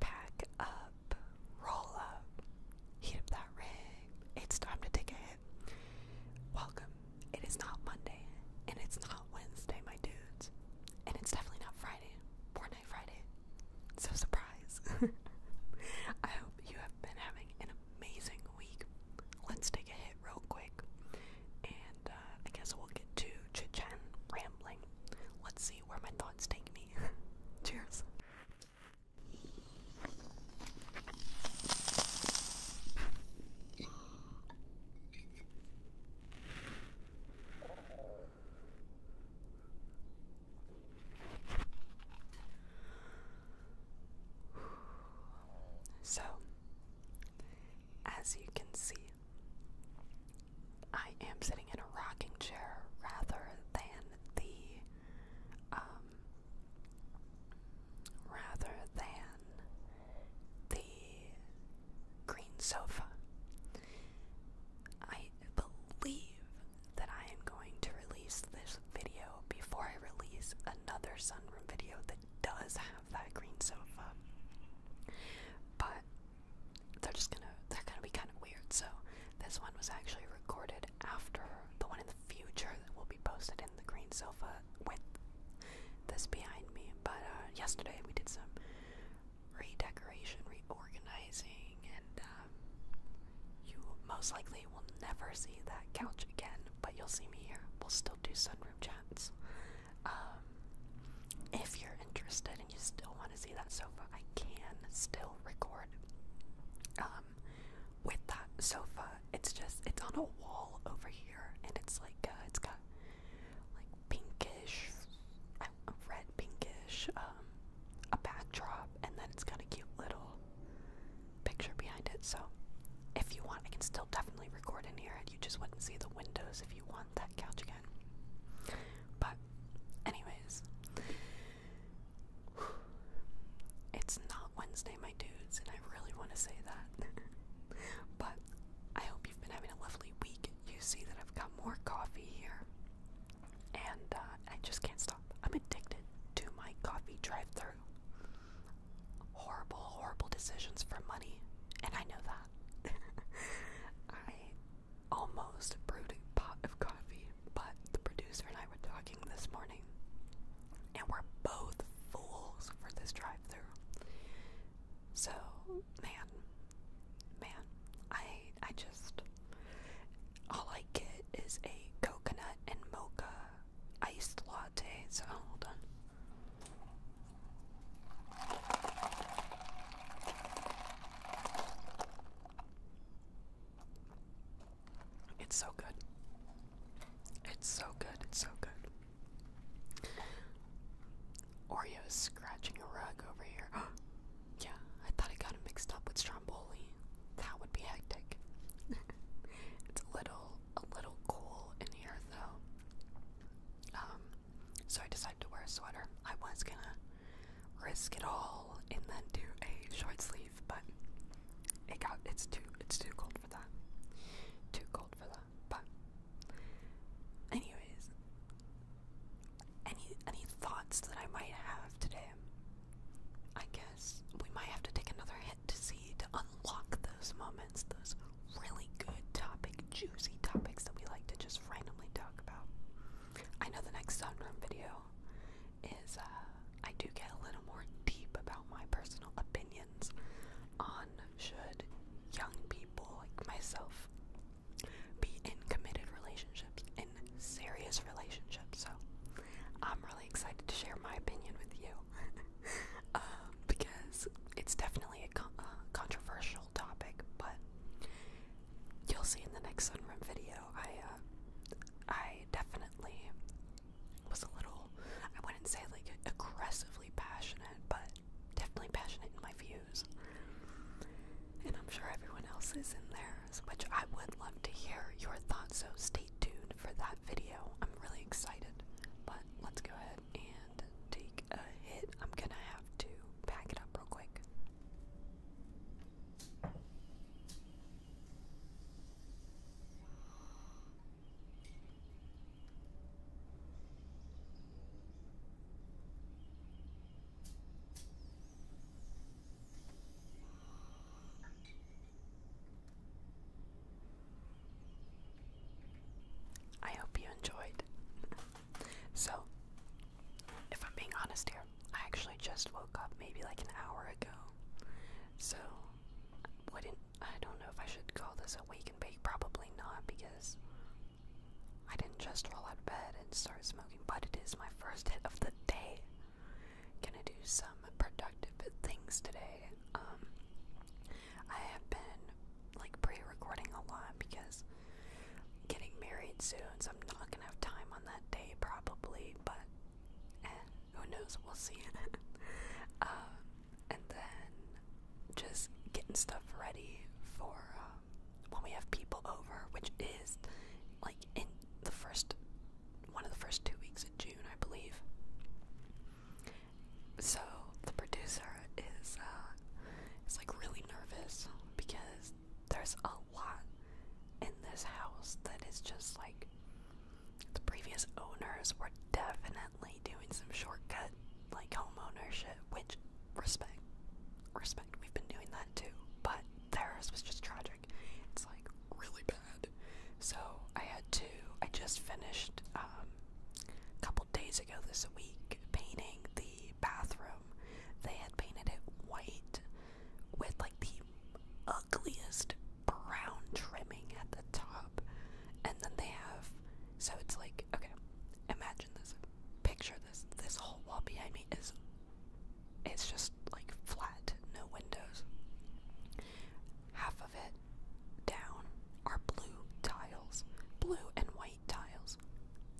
Pack up, roll up, heat up that rig. It's time to take a hit. Welcome. It is not Monday, and it's not Wednesday, my dudes. And it's definitely not Friday, Poor Friday. So, surprise. I hope you have been having an amazing Let's take a hit real quick, and uh, I guess we'll get to chit rambling. Let's see where my thoughts take me. Cheers. So, as you can see, I am sitting in a rocking chair rather than the, um, rather than the green sofa. I believe that I am going to release this video before I release another sunroom video that does have that green sofa. But they're just gonna they're gonna be kind of weird. So this one was actually recorded after the one in the future that will be posted in the green sofa with this behind me. But uh, yesterday we did some redecoration, reorganizing, and um, you most likely we will never see that couch again, but you'll see me here. We'll still do sunroom chats. Um, if you're interested and you still want to see that sofa, I can still record um, with that sofa. It's just, it's on a wall over here, and it's like, uh, it's got like pinkish, red pinkish, um, a backdrop, and then it's got a cute little picture behind it, so if you want, I can still definitely record in here. You just wouldn't see the windows if you want that couch again. But, anyways, it's not Wednesday, my dudes, and I really want to say that. but I hope you've been having a lovely week. You see that I've got more coffee here, and uh, I just can't stop. I'm addicted to my coffee drive-through horrible, horrible decisions for money, and I know that. I almost brewed a pot of coffee, but the producer and I were talking this morning, and we're both fools for this drive through. So, man, man, I, I just. All I get is a coconut and mocha iced latte, so hold on. It's so good. It's so good. It's so good. Oreo scratching a rug over here. yeah, I thought I got him mixed up with stromboli. That would be hectic. it's a little a little cool in here though. Um, so I decided to wear a sweater. I was gonna risk it all and then do a short sleeve, but it got it's too it's too cold for that. Too cold for that. But anyways, any any thoughts that I might have today? I guess we might have to take another hit to see to unlock those moments, those really good topic, juicy topics that we like to just randomly talk about. I know the next sunroom video is uh, I do get a little more deep about my personal opinions on should young people like myself be in committed relationships, in serious relationships. So I'm really really excited to share my opinion with you um, because it's definitely a, uh, controversial topic, but you'll see in the next sunroom video. I uh, I definitely was a little, I wouldn't say like aggressively passionate, but definitely passionate in my views. And I'm sure everyone else is in theirs, which I would love to hear your thoughts, so stay tuned for that video. I'm really excited, but let's go ahead and take a hit. I'm gonna have to pack it up real quick. I hope you enjoyed. so, if I'm being honest here, I actually just woke up maybe like an hour ago. So, wouldn't I don't know if I should call this a wake and Probably not because I didn't just roll out of bed and start smoking, but it is my first hit of the day gonna do some productive things today. Um, I have been like pre-recording a lot because getting married soon, so I'm not gonna have time on that day probably. But eh, who knows? We'll see. um, and then just getting stuff ready for um, when we have people over, which is like in the first one of the first two weeks of June, I believe. So the producer is uh, is like really nervous because there's a lot in this house that is just like the previous owners were definitely doing some shortcut like home ownership, which respect, respect. We've been doing that too, but theirs was just tragic. It's like really bad. So I had to. I just finished um, a couple days ago this week painting the bathroom. They had painted it white with like the ugliest brown trimming at the top, and then they have. So it's like okay, imagine this. Picture this. This whole wall behind me is. It's just like flat, no windows. Half of it down are blue tiles, blue and white tiles.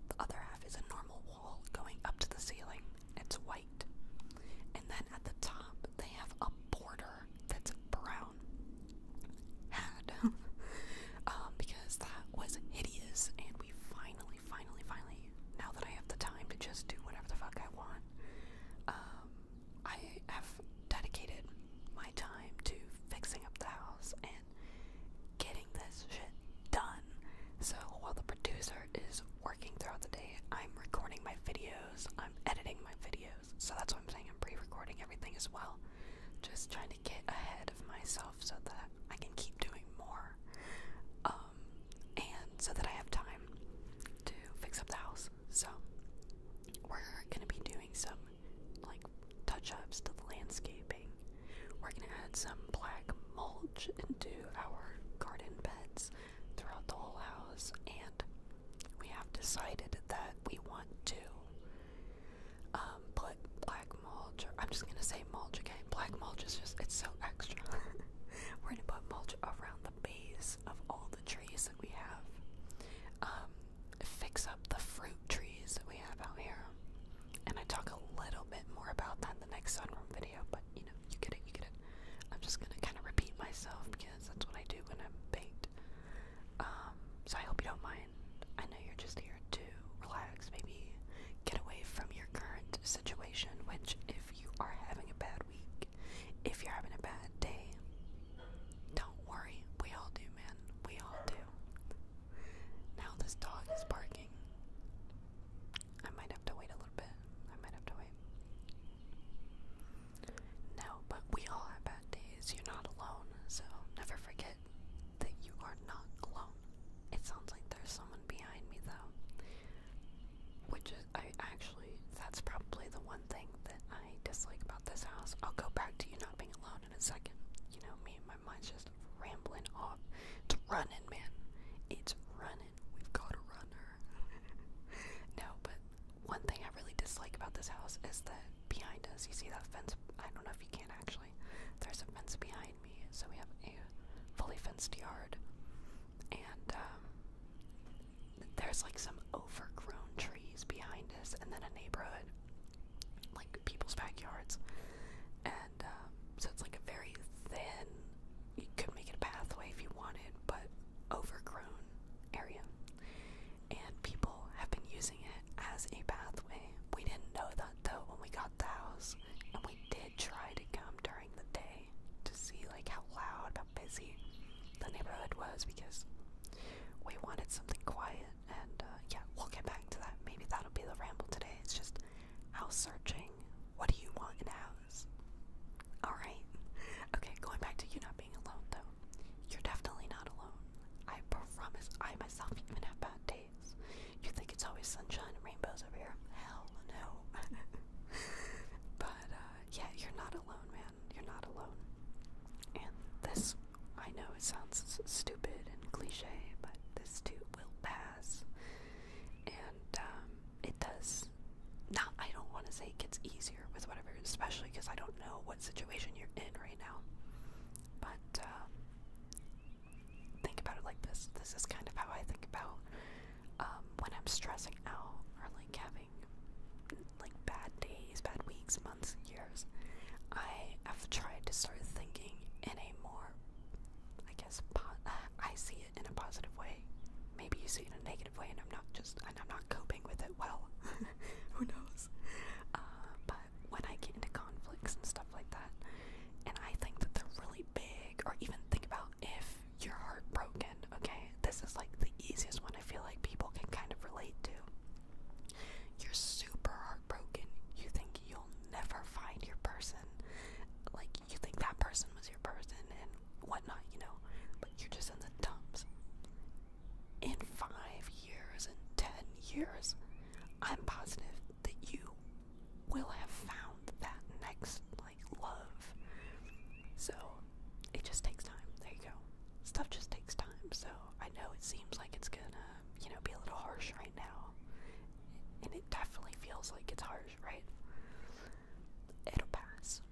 The other half is a normal wall going up to the ceiling. It's white. And then at the top, they have a border that's brown. Had. Um, because that was hideous, and we finally, finally, finally, now that I have the time to just do whatever the fuck I want, um, I have dedicated my time to fixing up the house and getting this shit done. So while the producer is working throughout the day, I'm recording my videos, I'm editing my videos. So that's why I'm saying, I'm pre recording everything as well. Just trying to get ahead of myself so that I can keep doing more. Um, um, and so that I have time to fix up the house. So we're gonna be doing some like touch-ups to the landscaping. We're gonna add some black mulch into our garden beds throughout the whole house, and we have decided that we want to um, put black mulch. Or I'm just gonna say mulch again. Black mulch is just—it's so extra. We're gonna put mulch around the the base of all the trees that we have. Um, fix up the fruit trees that we have out here. And I talk a little bit more about that in the next sunroom video, but you know, you get it, you get it. I'm just gonna kind of repeat myself because that's what I do when I'm baked. Um, so I hope you don't mind. I know you're just here to relax, maybe get away from your current situation, which if you are having a bad if you're having a bad day, don't worry. We all do, man. We all do. Now this dog is barking. I might have to wait a little bit. I might have to wait. No, but we all have bad days. You're not alone. So never forget that you are not alone. It sounds like there's someone behind me, though which is I actually that's probably the one thing that I dislike about this house. I'll go back to you not being alone in a second. You know me, my mind's just rambling off. It's running, man. It's running. We've got a runner. no, but one thing I really dislike about this house is that behind us, you see that fence? I don't know if you can actually. There's a fence behind me, so we have a fully fenced yard. And um, there's like some overgrown trees behind us, and then a neighborhood, like people's backyards, and um, so it's like a very thin. You could make it a pathway if you wanted, but overgrown area, and people have been using it as a pathway. We didn't know that though when we got the house, and we did try to come during the day to see like how loud, busy the neighborhood was because we wanted something quiet. And uh, yeah, we'll get back to that. Maybe that'll be the ramble today. It's just house searching. What do you want in a house? Alright. Okay, going back to you not being alone though. You're definitely not alone. I promise I myself even have bad days. You think it's always sunshine and rainbows over here? Hell no. but, uh, yeah, you're not alone, man. You're not alone. And this, I know it sounds stupid and cliche, but this too will pass. And um, it does. Not, I don't want to say it gets easier with whatever, especially because I don't know what situation you're in right now. But um, think about it like this: this is kind of how I think about um, when I'm stressing out or like having like bad days, bad weeks, months, years, I have tried to start thinking in a more, I guess, I see it in a positive way. Maybe you see it in a negative way, and I'm not just, and I'm not coping with it well. Who knows? Uh, but when I get into conflicts and stuff like that, and I think that they're really big, or even think about if you're heartbroken, okay? This is like the easiest one I feel like people can kind of relate to. You're super heartbroken. You think you'll never find your person. Like, you think that person was your person and whatnot, you know? But you're just in the dumps. In five years, and ten years, I'm positive that you will have found that next love. So it just takes time. There you go. Stuff just takes time. So I know it seems like it's gonna, you know, be a little harsh right now. And it definitely feels like it's harsh, right? It'll pass.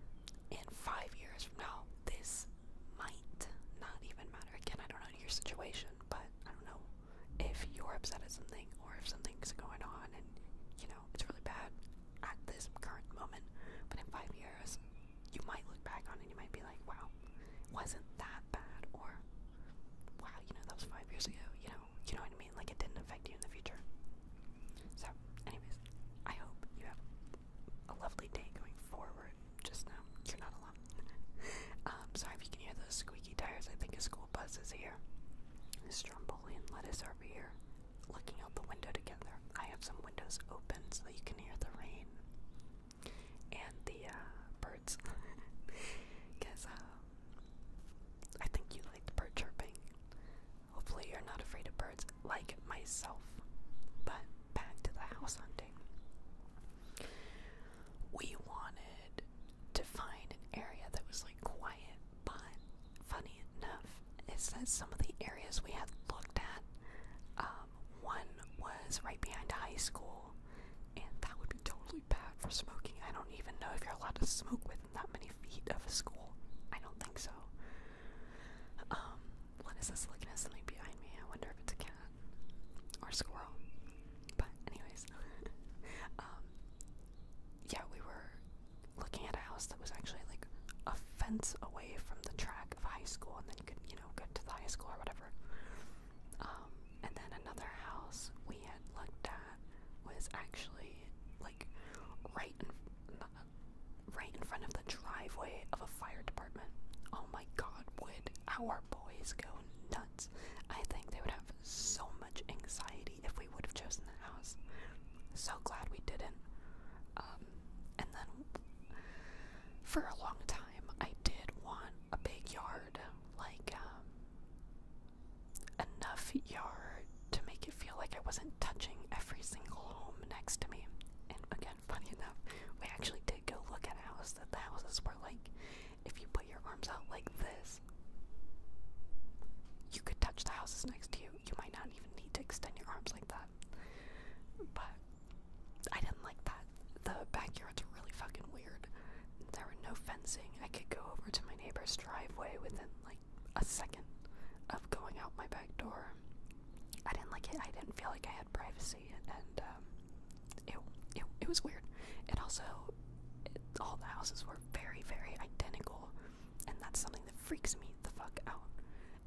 In five years from now, this might not even matter. Again, I don't know your situation, but I don't know if you're upset at something or if something's going on and you know it's really bad at this current moment, but in five years, you might look back on it and you might be like, wow, wasn't that bad, or wow, you know, that was five years ago, you know, you know what I mean? Like, it didn't affect you in the future. So, anyways, I hope you have a lovely day going forward. Just know you're not alone. um, sorry if you can hear those squeaky tires. I think a school bus is here. Stromboli and lettuce are over here looking out the window together. I have some windows open so you can hear the rain and the uh, birds. Because uh, I think you like the bird chirping. Hopefully, you're not afraid of birds like myself. But back to the house hunting. We wanted to find an area that was like quiet but funny enough is that some of the areas we had looked at, um, one was right behind a high school, and that would be totally bad for smoking. I don't even know if you're allowed to smoke within that many feet of a school. I don't think so. Um, what is this looking at something behind me? I wonder if it's a cat or a squirrel. But anyways, um, yeah, we were looking at a house that was actually like a fence away from the track of high school, and then you could, you know, get to the high school or whatever. Um, and then another house we had looked at was actually like right in, uh, right in front of the driveway of a fire department. Oh my god, would our boys go nuts? I think they would have so much anxiety if we would have chosen the house. So glad we didn't. Um, and then for a long time, I did want a big yard, like um, enough yard to make it feel like I wasn't touching every single home next to me. And again, funny enough, we actually did go look at a house that the houses were like, if you put your arms out like this, you could touch the houses next to you. You might not even need to extend your arms like that. But I didn't like that. The backyards are really fucking weird. There were no fencing. I could go over to my neighbor's driveway within like a second of going out my back door. I didn't like it. I didn't feel like I had privacy, and um, it, it was weird. It also, all the houses were very very identical and that's something that freaks me the fuck out.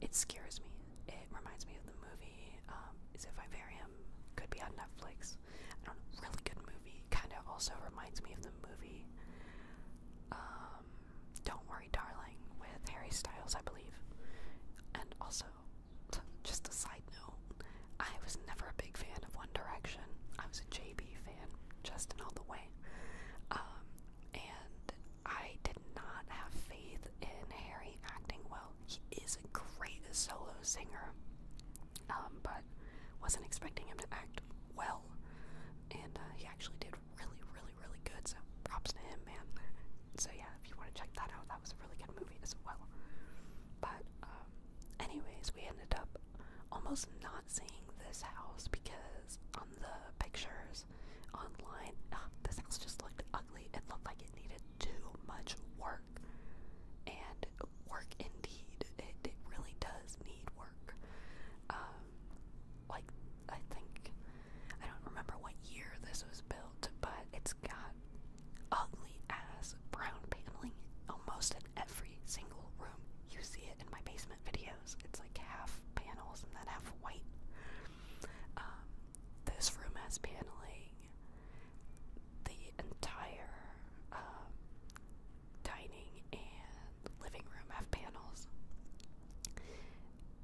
It scares me. It reminds me of the movie. Um, is it Could be on Netflix. I Really good movie. Kind of also reminds me of the movie. Um, don't worry, darling, with Harry Styles, I believe. And also, just a side note, I was never a big fan of One Direction. I was a JB fan, Justin All the Way, um, and I did not have faith in Harry acting well. He is a great solo singer, um, but wasn't expecting him to act well. And uh, he actually did really, really, really good. So props to him, man. So yeah, if you want to check that out, that was a really good movie as well. But um, anyways, we ended up almost not not seeing this house because on the pictures online, uh, this house just looked ugly. It looked like it needed too much work. And work indeed. It, it really does need work. Um, like, I think, I don't remember what year this was built, but it's got ugly ass brown paneling, almost an every single room. You see it in my basement videos. It's like half panels and then half white. Um, this room has paneling. The entire um, dining and living room have panels.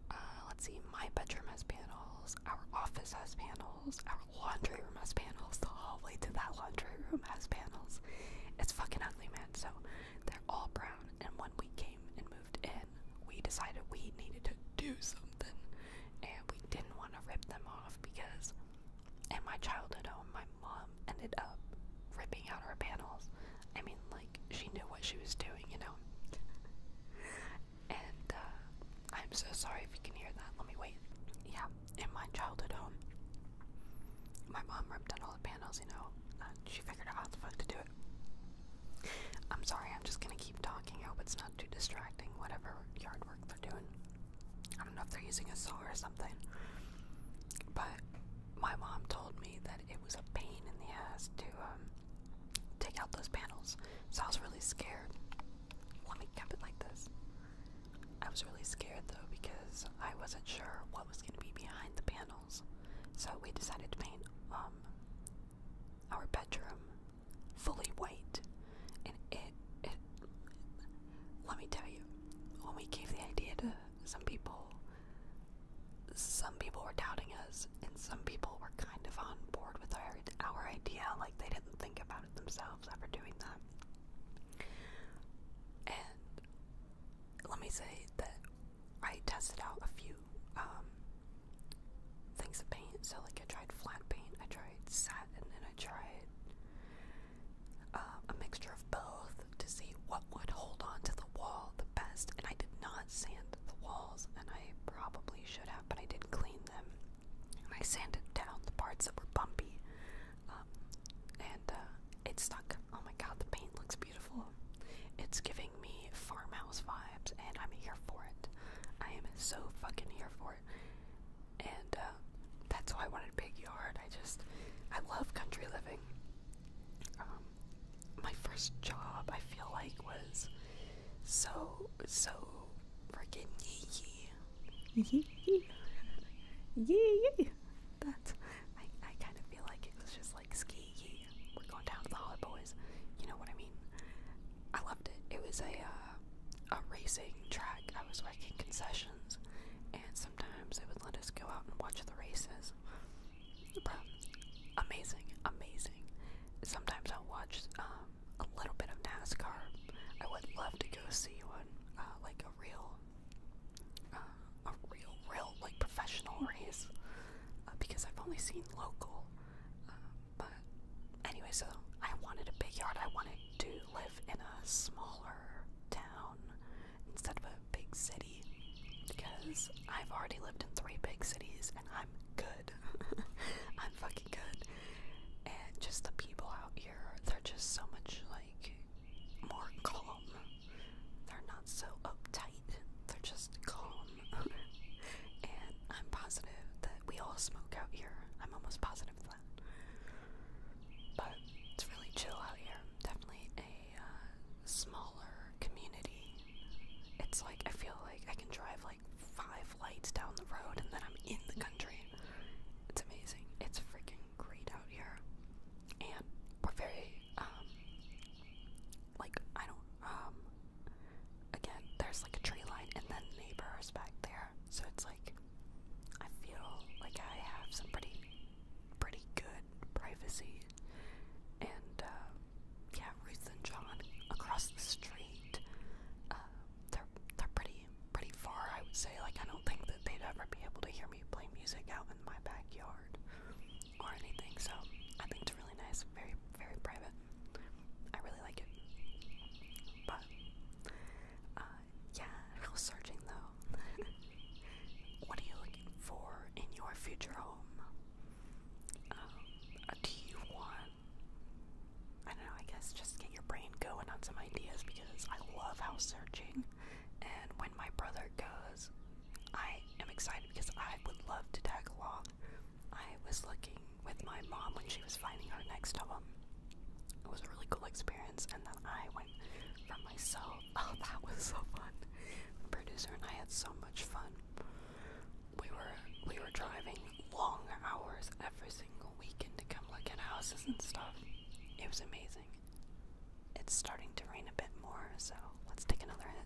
Uh, let's see, my bedroom has panels, our office has panels, our laundry room has panels, the hallway to that laundry room has panels. It's fucking ugly, man. So they're all brown, and when we came and moved in, we decided we needed to do something, and we didn't want to rip them off because in my childhood home, my mom ended up ripping out our panels. I mean, like, she knew what she was doing, you know? and, uh, I'm so sorry if you can hear that. Let me wait. Yeah, in my childhood home, my mom ripped out all the panels, you know. Uh, she figured out how the fuck to do it. I'm sorry, I'm just gonna keep talking. I hope it's not too distracting, whatever yard work they're doing. I don't know if they're using a saw or something. But my mom told me that it was a pain in the ass to um, take out those panels. So I was really scared. Let me cap it like this. I was really scared though because I wasn't sure what was going to be behind the panels. So we decided to paint um, our bedroom fully white. And it, let me tell you, when we gave the idea to some people, some people were doubting us, and some people were kind of on board with our, our idea, like they didn't think about it themselves ever doing that. And let me say that I tested out a few um, things of paint. So, like, I tried flat paint, I tried satin, and then I tried uh, a mixture of both to see what would hold on to the wall the best. And I did not sand the walls, and I probably should have, but I did clean them. And I sanded down the parts that were bumpy um, and uh, it stuck. Oh my god, the paint looks beautiful. It's giving me farmhouse vibes, and I'm here for it. I am so fucking here for it. And uh, that's why I wanted a big yard. I just, I love country living. Um, my first job, I feel like, was so, so freaking yee Yee yee. Yee yee. That's I I kind of feel like it was just like ski yee. We're going down to the Hollow Boys. You know what I mean? I loved it. It was a uh, a racing track. I was working concessions, and sometimes they would let us go out and watch the races. But amazing, amazing. Sometimes I'll watch um, a little bit of NASCAR. I would love to go see one, uh, like a real uh, a real, real, like professional race uh, because I've only seen local. Uh, but anyway, so I wanted a big yard. I wanted to live in a smaller town instead of a big city because I've already lived in three big cities and I'm good. I'm fucking good. And just the people out here, they're just so much like more calm. They're not so uptight, they're just calm. and I'm positive that we all smoke out here. I'm almost positive of that. But it's really chill out here. Definitely a uh, smaller community. It's like I feel like I can drive like five lights down the road and then I'm in the country. It's amazing. It's freaking great out here, and we're very um like I don't um again there's like a tree line and then neighbors back there, so it's like I feel like I have some pretty pretty good privacy, and uh, yeah, Ruth and John across the street. Uh, they're they're pretty pretty far, I would say. Like I don't do think that they'd ever be able to hear me play music out in my backyard or anything. So I think it's really nice, very, very private. I really like it. But uh, yeah, house searching though. what are you looking for in your future home? Uh, do you want? I don't know. I guess just get your brain going on some ideas because I love house searching. And when my brother goes, I am excited because I would love to tag along. I was looking with my mom when she was finding her next home. It was a really cool experience, and then I went for myself. Oh, that was so fun! producer and I had so much fun. We were we were driving long hours every single weekend to come look at houses and stuff. It was amazing. It's starting to rain a bit more, so let's take another hit.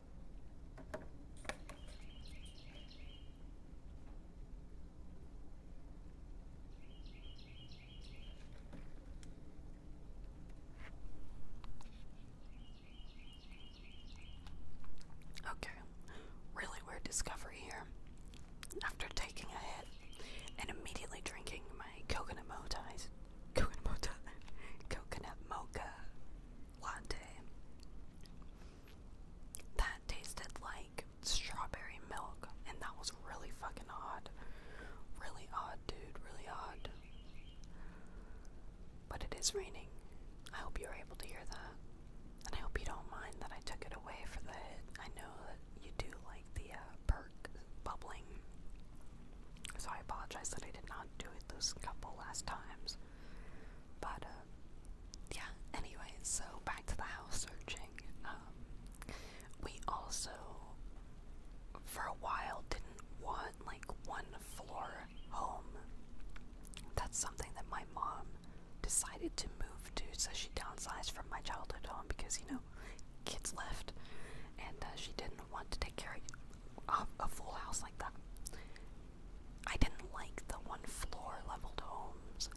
Okay, really weird discovery here. After taking a hit and immediately drinking my coconut mochais, coconut mocha, coconut mocha latte, that tasted like strawberry milk, and that was really fucking odd. Really odd, dude, really odd. But it is raining. I hope you were able to hear that. And I hope you don't mind that I took it away for the hit. I know that you do like the uh, perk bubbling. So I apologize that I did not do it those couple last times. But, uh, yeah, anyway, so back to the house searching. Um, we also, for a while, didn't want like one floor home. That's something that my mom decided to move to, so she downsized from my childhood home because, you know, kids left, and uh, she didn't want to take care of a full house like that. I didn't like the one floor leveled homes.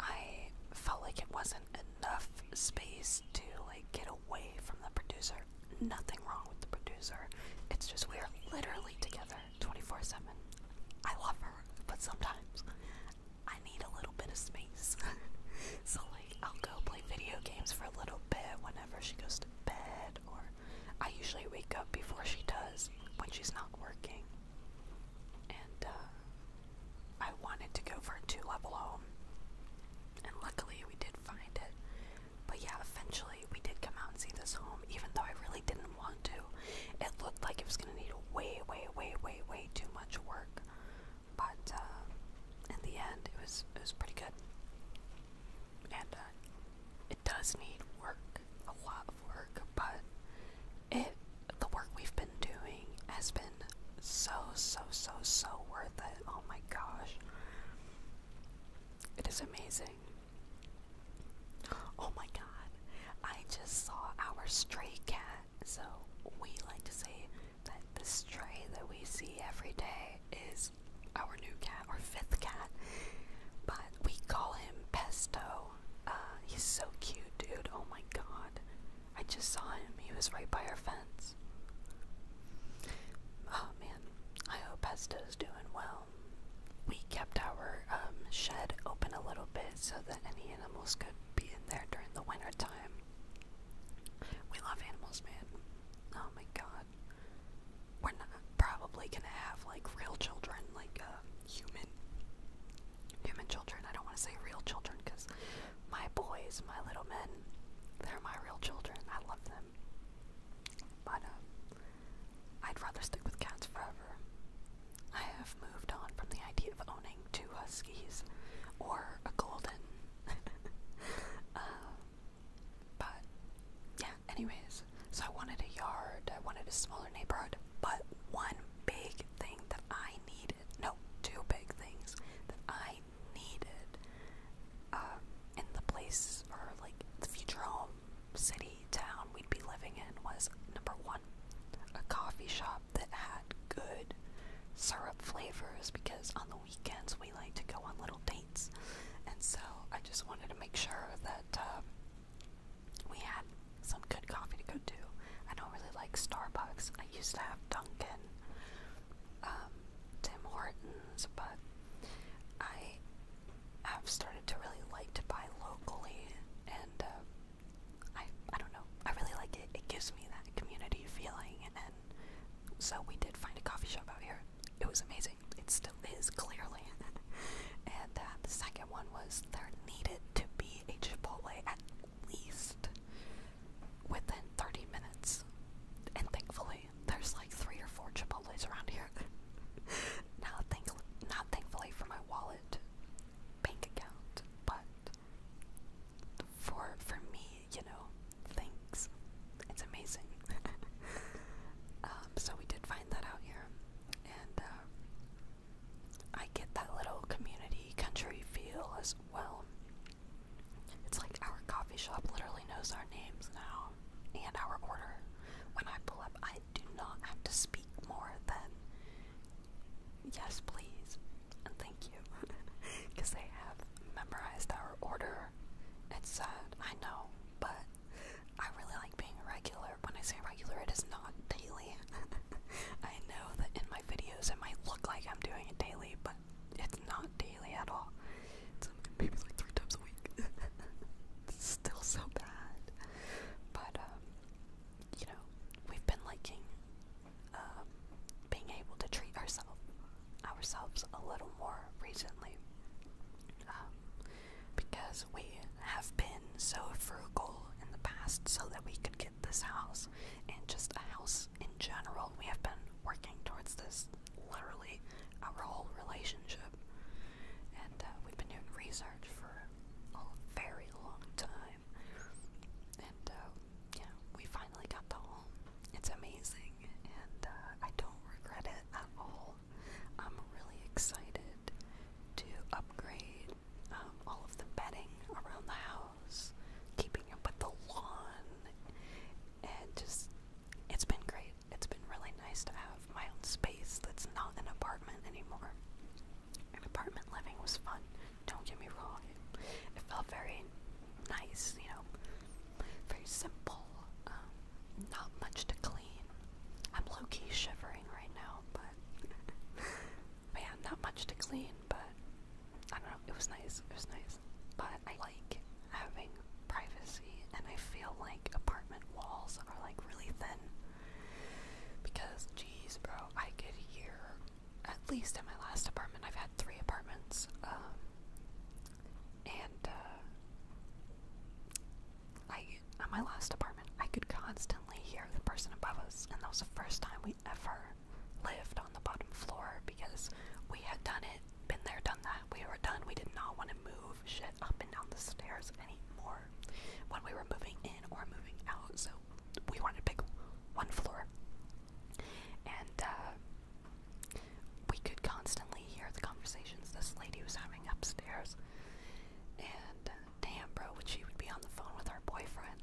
I felt like it wasn't enough space to like get away from the producer. Nothing wrong with the producer. It's just we are literally together 24/7. I love her, but sometimes I need a little bit of space. so like I'll go play video games for a little bit whenever she goes to bed or I usually wake up before she does when she's not working. And uh, I wanted to go for a two level home. And luckily we did find it. But yeah, eventually we did come out and see this home, even though I really didn't want to. It looked like it was going to need way, way, way, way, way too much work. But uh, in the end, it was, it was pretty good. And uh, it does need work a lot of work, but it the work we've been doing has been so so so so worth it. Oh my gosh. It is amazing. Oh my god. I just saw our stray cat. So we like to say that the stray that we see every day is our new cat, our fifth cat, but we call him Pesto. Uh, he's so cute, dude. Oh my god. I just saw him. He was right by our fence. Oh man, I hope Pesto's doing well. We kept our um, shed open a little bit so that any animals could be in there during the winter time. We love animals, man. Oh my god we're not probably gonna have like real children, like uh, human human children. I don't want to say real children because my boys, my little men, they're my real children. I love them, but um, I'd rather stick with cats forever. I have moved on from the idea of owning two huskies or a golden. Uh, but yeah, anyways, so I wanted a yard, I wanted a smaller neighborhood, but one big thing that I needed no, two big things that I needed um, in the place or like the future home, city, town we'd be living in was number one, a coffee shop that had good syrup flavors because on the weekends we like to go on little date means. And so I just wanted to make sure that uh, we had some good coffee to go to. I don't really like Starbucks. I used to have Dunkin', um, Tim Hortons, but I have started to really like to buy locally, and uh, I I don't know. I really like it. It gives me that community feeling, and so we did find a coffee shop out here it was amazing. It still is, clearly. and uh, the second one was there needed to be a Chipotle at least within 30 minutes. And thankfully, there's like three or four Chipotles around here. not, thank not thankfully for my wallet, bank account, but for for me, you know, thanks. It's amazing. Um, so we did find that out here, and uh, I get that little community country feel as well. It's like our coffee shop literally knows our names now and our order. When I pull up, I do not have to speak more than yes, please, and thank you, because they have memorized our order. It's sad, I know, but I really like being irregular. When I say irregular, it is not daily. I know that in my videos it might look like I'm doing it daily, but it's not daily at all. It's maybe like three times a week. it's still so bad. But, um, you know, we've been liking um, being able to treat ourselves ourselves a little more recently. Um, because we have been so frugal in the past so that we could get this house and just a house in general. We have been working towards this literally our whole relationship, and uh, we've been doing research for a very long time. And uh, yeah, we finally got the home. It's amazing, and uh, I don't regret it at all. I'm really excited to upgrade um, all of the bedding around the house, keeping up with the lawn, and just it's been great. It's been really nice to have my own space that's not an apartment anymore. apartment living was fun, don't get me wrong. it felt very nice, you know very simple, um, not much to clean. I'm low key shivering right now, but man, not much to clean, but I don't know, it was nice, it was nice. But I like having privacy, and I feel like apartment walls are like really thin because, geez, bro, I could hear. At least in my last apartment, I've had three apartments. Um, and uh, I at my last apartment, I could constantly hear the person above us, and that was the first time we ever lived on the bottom floor because we had done it, been there, done that. We were done. We did not want to move shit up and down the stairs anymore when we were moving in or moving out. So we wanted to pick one floor, and uh, we could constantly hear the conversations this lady was having upstairs. And uh, damn, bro, when she would be on the phone with her boyfriend,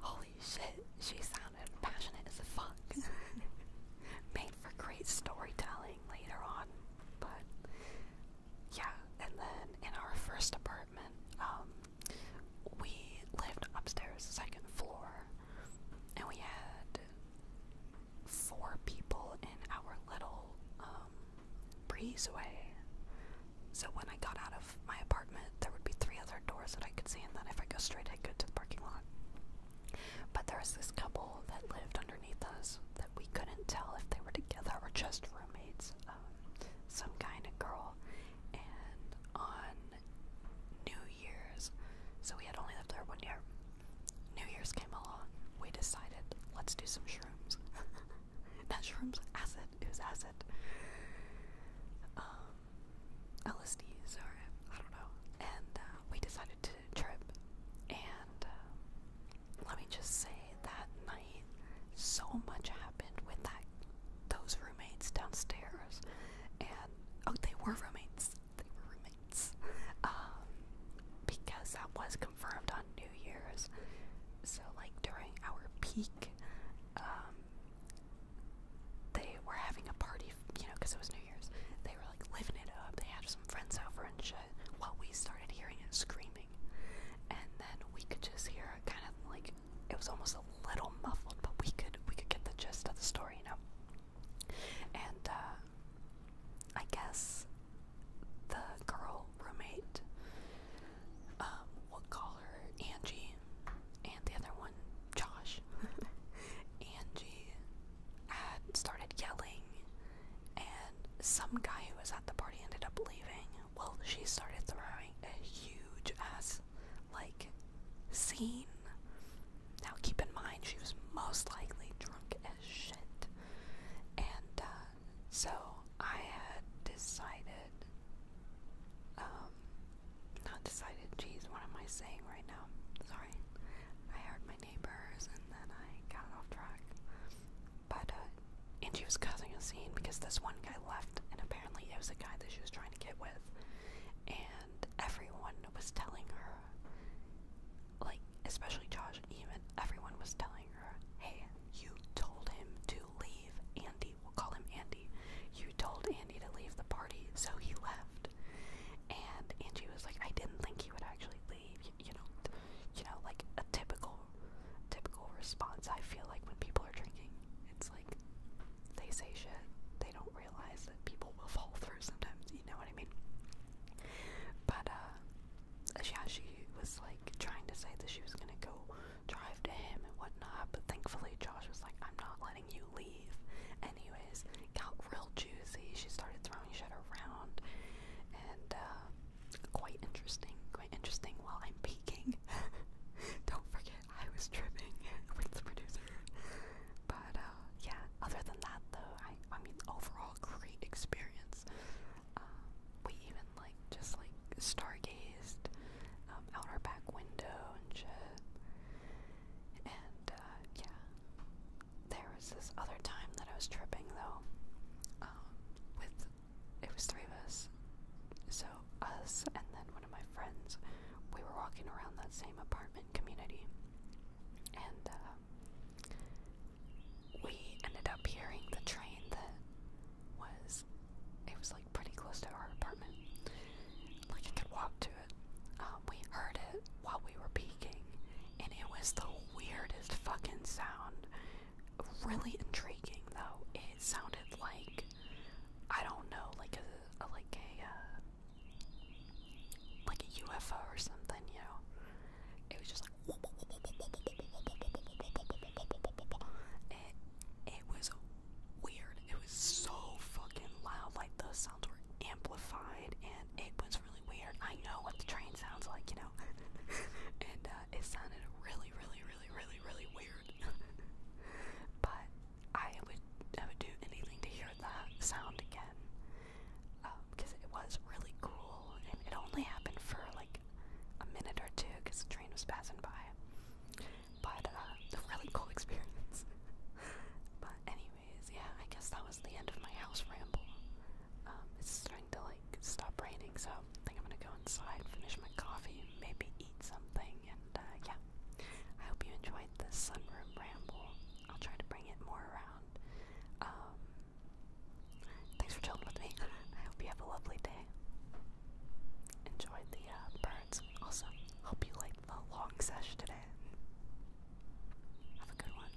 holy shit, she sounded passionate as fuck. Made for great storytelling later on. But yeah, and then in our first apartment, um, we lived upstairs, second floor, and we had four people in our little um, breezeway. So when I got out of my apartment, there would be three other doors that I could see, and then if I go straight, i could go to the parking lot. But there was this couple that lived underneath us that we couldn't tell if they were together or just roommates, um, some kind of girl. And on New Year's, so we had only lived there one year, New Year's came along. We decided let's do some shrooms. Not shrooms, acid. It was acid. Um, LSDs or I don't know. And uh, we decided to trip. And um, let me just say that night, so much happened with that those roommates downstairs. And oh, they were roommates they were roommates. Um, because that was confirmed on New Year's. So, like, during our peak, um, they were having a party, you know, because it was New Year's. They were, like, living it up. They had some friends over and shit. While we started hearing it screaming. And then we could just hear kind of, like, it was almost a little muffled, but we could, we could get the gist of the story, you know? And uh, I guess the girl roommate, um, we'll call her Angie, and the other one, Josh. Angie had started yelling, and some guy who was at the party ended up leaving. Well, she started throwing a huge ass, like, scene now keep in mind, she was most likely drunk as shit. And uh, so I had decided, um, not decided, geez, what am I saying right now? Sorry. I heard my neighbors and then I got off track. But, uh, and she was causing a scene because this one guy left, and apparently it was a guy that she was trying to get with. And everyone was telling her, like especially Josh, even everyone was telling her, "Hey, you told him to leave Andy. We'll call him Andy. You told Andy to leave the party, so he left." And Angie was like, "I didn't think he would actually leave." You, you know, you know, like a typical, typical response. I feel like when people are drinking, it's like they say shit. They don't realize that people will fall through sometimes, you know what I mean? But yeah, uh, she was like trying to say that she was gonna go drive to him and whatnot, but thankfully Josh was like, I'm not letting you leave. Anyways, got real juicy. She started throwing shit around, and uh, quite interesting, quite interesting while I'm peeking. Don't forget, I was tripping with the producer. But uh, yeah, other than that, though, I mean overall great experience. Um, we even like just like stargazed um, out our back window and shit. And uh, yeah, there was this other time that I was tripping though. Um, with it was three of us, so us and then one of my friends. We were walking around that same apartment community. And uh, we ended up hearing the train that was, it was like pretty close to our apartment. Like I could walk to it. Um, we heard it while we were peeking, and it was the weirdest fucking sound. Really intriguing though. It sounded like I don't know, like a, a like a uh, like a UFO or something, you know. It was just like it it was weird. It was so fucking loud, like those sounds were amplified and it was really weird. I know what the train sounds like, you know. and uh, it sounded really, really, really, really, really weird. but I would I would do anything to hear that sound again because um, it was really cool and it only happened for like a minute or two because the train was passing by but uh, a really cool experience but anyways yeah I guess that was the end of my house ramble um, it's starting to like stop raining so I think I'm gonna go inside finish my coffee maybe eat something and uh, yeah I hope you enjoyed this sunroom ramble I'll try to bring it more around um, thanks for chilling with me. I hope you have a lovely day. Enjoyed the uh, birds. Also, hope you liked the long sesh today. Have a good one.